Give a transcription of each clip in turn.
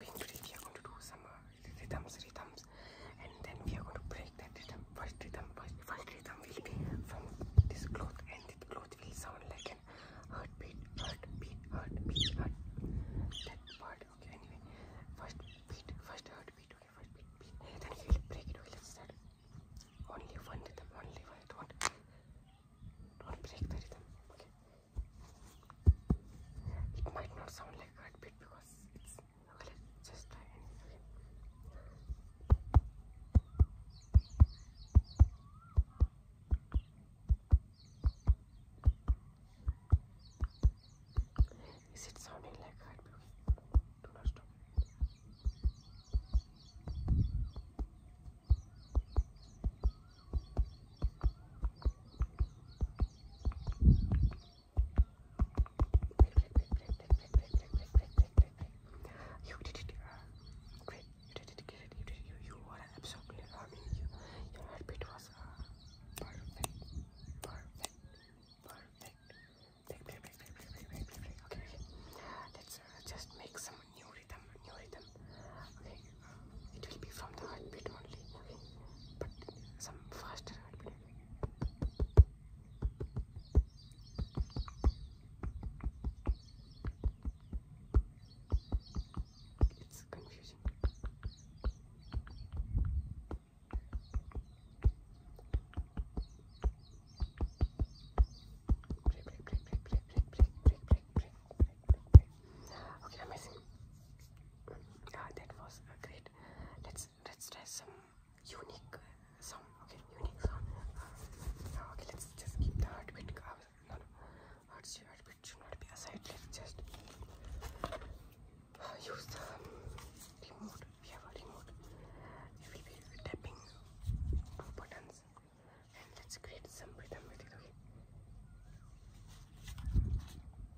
Today we are going to do some uh, rhythms, rhythms, and then we are going to break that rhythm. First rhythm, first, first rhythm will be from this cloth, and the cloth will sound like an heartbeat, heartbeat, heartbeat, heart. That part, okay. Anyway, first beat, first heartbeat, okay, first beat, beat. Then we will break it. Okay, let's start. Only one rhythm, only one. Don't, don't break the rhythm. Okay. It might not sound like heartbeat because it's okay, let's just try Is it sounding like heartbeat? Do not stop. You did it great. You did it great. You did You, you were absolutely. I mean, you, your heartbeat was uh, perfect. Perfect. Perfect. Okay, Let's just make some new rhythm. New rhythm. Okay it will be from the heartbeat only but some faster heartbeat it's confusing break, break, break, break, break, break, break, break, break, break, break, break. okay amazing uh, that was a great. Let's let's try some unique uh, sound. Okay, unique sound. Ah, okay, let's just keep the heartbeat. Uh, no, no, heartbeat should not be aside. Let's just ah, use the um, remote. We have a remote. We will be tapping two buttons, and let's create some rhythm with it. Okay.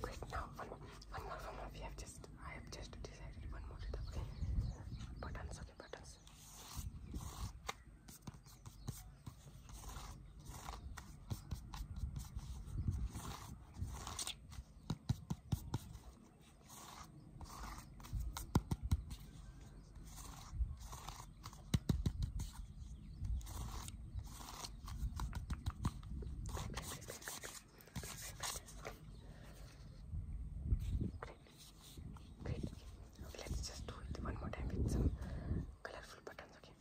Quick now, one more, one more, one more. We have just, I have just decided one more letter. Okay, buttons. Okay, buttons. Okay, Great. Okay, let's just do it one more time with some colorful buttons, okay?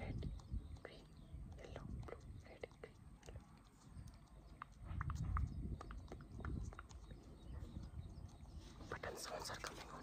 Red, green, yellow, blue, red, green, yellow. Button sounds are coming on.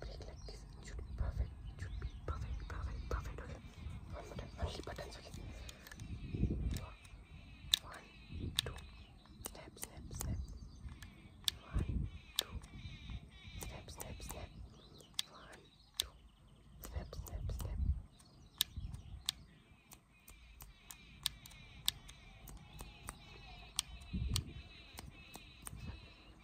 click like this. It should be perfect. It should be perfect, perfect, perfect. Okay. One more time. Only buttons. Okay. One, two. Snap, snap, snap. One, two. Snap, snap, snap. One, two. Snap, snap, snap. Snap,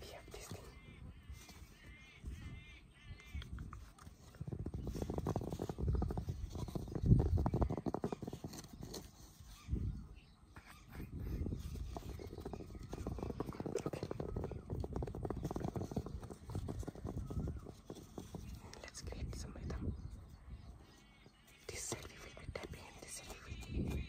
We have this thing. Okay. Let's create some rhythm. This side will be tapping this side will be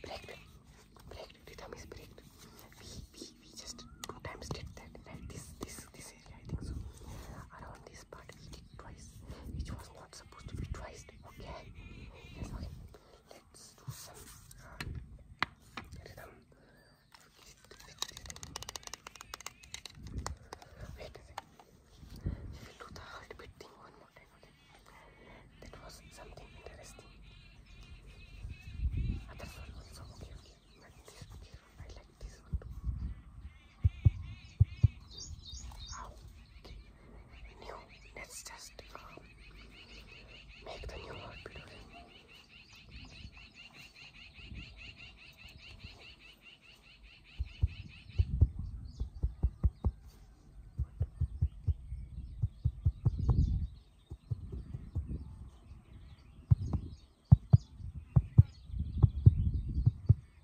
Break, break, the thumb is break. We, we, we just two did that, right? This, this, this area, I think so this part we twice, which was not supposed to be twice. Okay, Let's do some uh, um, Wait a second. We the heartbeat one more time. Okay, that was something interesting. Others ah, were also okay. okay, I like this one too. New. Let's just um, make the new one.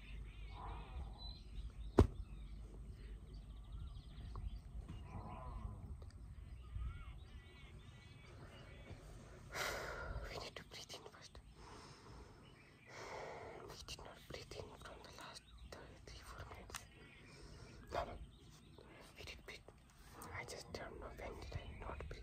We We need to breathe Breathe in in first. from the last No, no. did I just don't when did I not breathe?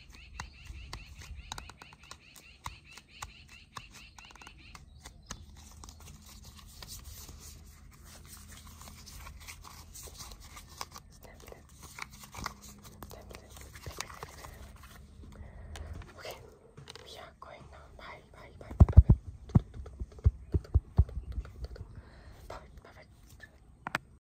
Okay, we are going now. Bye, bye, bye, bye, bye. Perfect, perfect.